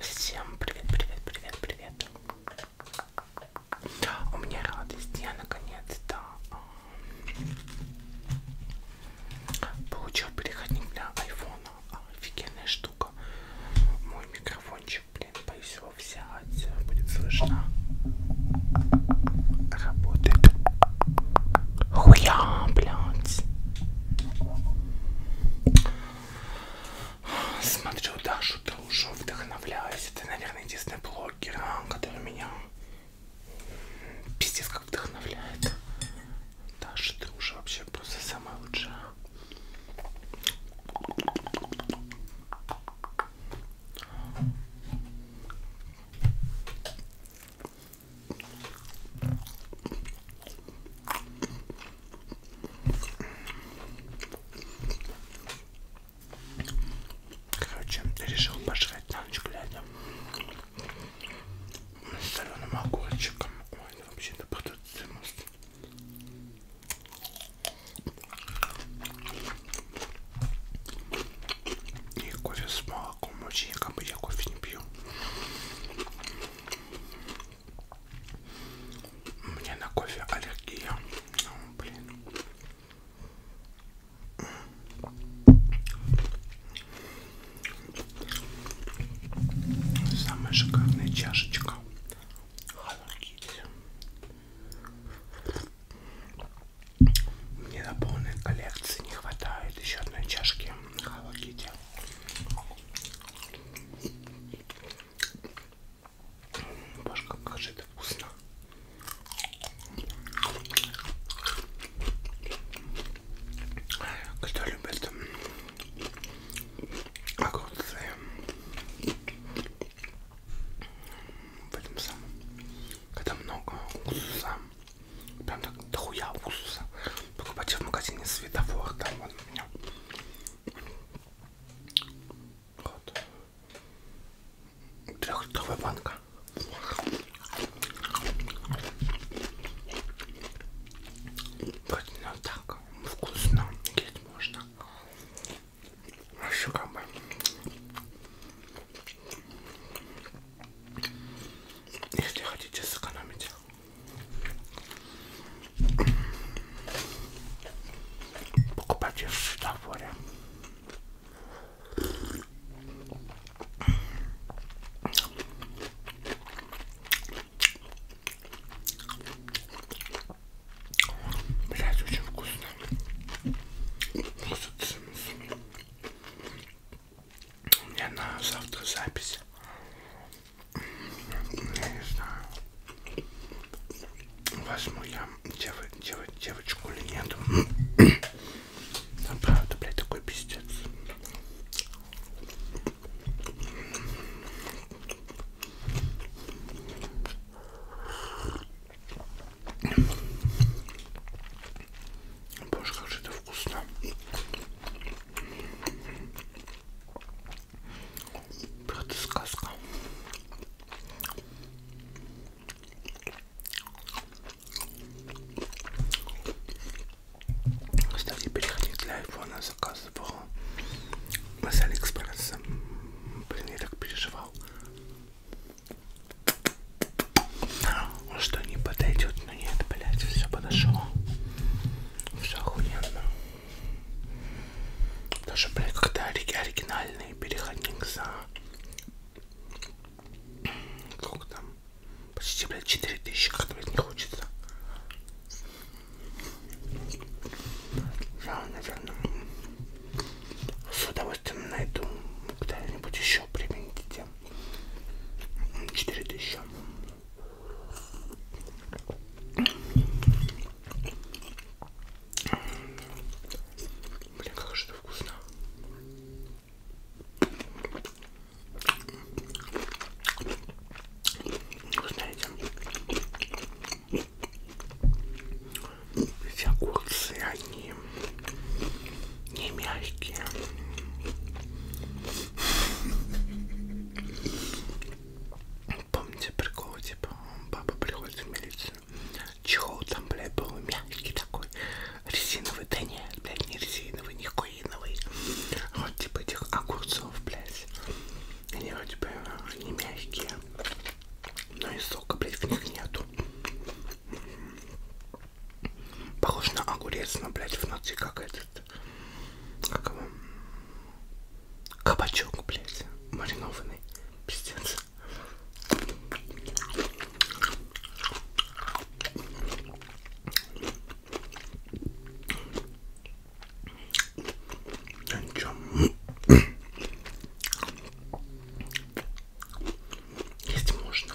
Всем привет, привет, привет, привет. У меня радость, я наконец-то получил переходник для айфона. Офигенная штука. Мой микрофончик, блин, боюсь его взять, будет слышно. Работает. Хуя, блядь. Смотрю Дашу Дружу, вдохновляюсь. Это, наверное, единственный блогер, а, который меня пиздец как вдохновляет. Даша Дружа вообще просто самая лучшая. Короче, решил пожрать на ночь глядя с соленым огурчиком. Ой, это вообще-то продуцимус. И кофе с молоком очень, как бы я кофе не пью. Мне на кофе аллергия. О, блин. Самая шикарная чашечка. Мне на полной коллекции не хватает еще одной чашки Hello Kitty. Боже, как же это вкусно. Кто любит огурцы в этом самом, когда много уксуса, прям так дохуя уксуса, покупайте в магазине светофор, там он у меня. Вот. Трехлитровая банка. Вот ну, так вкусно есть можно. Вообще а как бы. Если хотите сэкономить Покупайте в светофоре. Блять, очень вкусно. У меня на завтра запись. Я не знаю, возьму я дев, дев, девочку или нет. Там, правда, блядь, такой пиздец. Боже, как же это вкусно. Просто сказка. Кстати, переходить для айфона заказывал с Алиэкспресса. Блин, я так переживал. Что не подойдет ну нет, блять, все подошло. Все охуенно. Даже, блядь, когда оригинальный переходник за... Сколько там? Почти, блядь, 4000, как-то, блядь, не хочется. Я, наверное, с удовольствием найду. Когда-нибудь еще примените 4000. Блин, как же это вкусно. Вы знаете, все огурцы, они не мягкие. Помните прикол, типа, папа приходит в милицию, чехол там, блядь, был мягкий такой, резиновый, да нет, блядь, не резиновый, не коиновый, вот, типа, этих огурцов, блядь, они вроде бы не мягкие, но и сока, блядь, в них нету. Похож на огурец, но, блядь, в нации какая-то этот, как его, кабачок, блядь, маринованный, пиздец. Да ничего. Есть можно.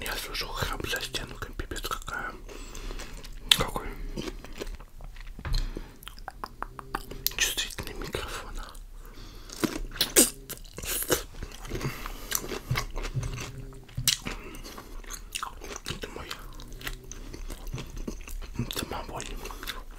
Я слышу храп за стенкой, пипец какая. Какой чувствительный микрофон. Это мой самовольник.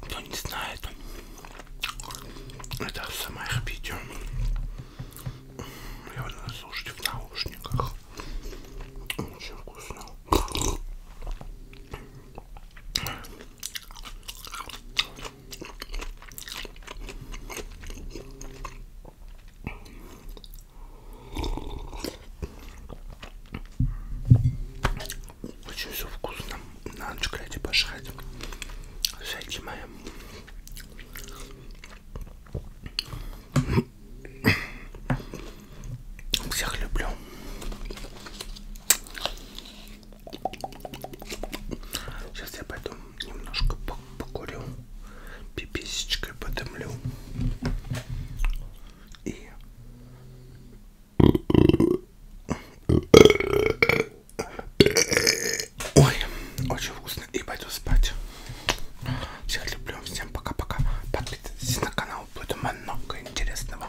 Кто не знает, это самое видео. Его надо слушать в наушниках. Очень вкусно. Очень все вкусно. На ночь глядя пожрать. Зайди моя. Всех люблю. Сейчас я пойду немножко покурю, пиписечкой подымлю и Ой, очень вкусно и пойду спать. Всех люблю, всем пока-пока. Подписывайтесь на канал, будет много интересного.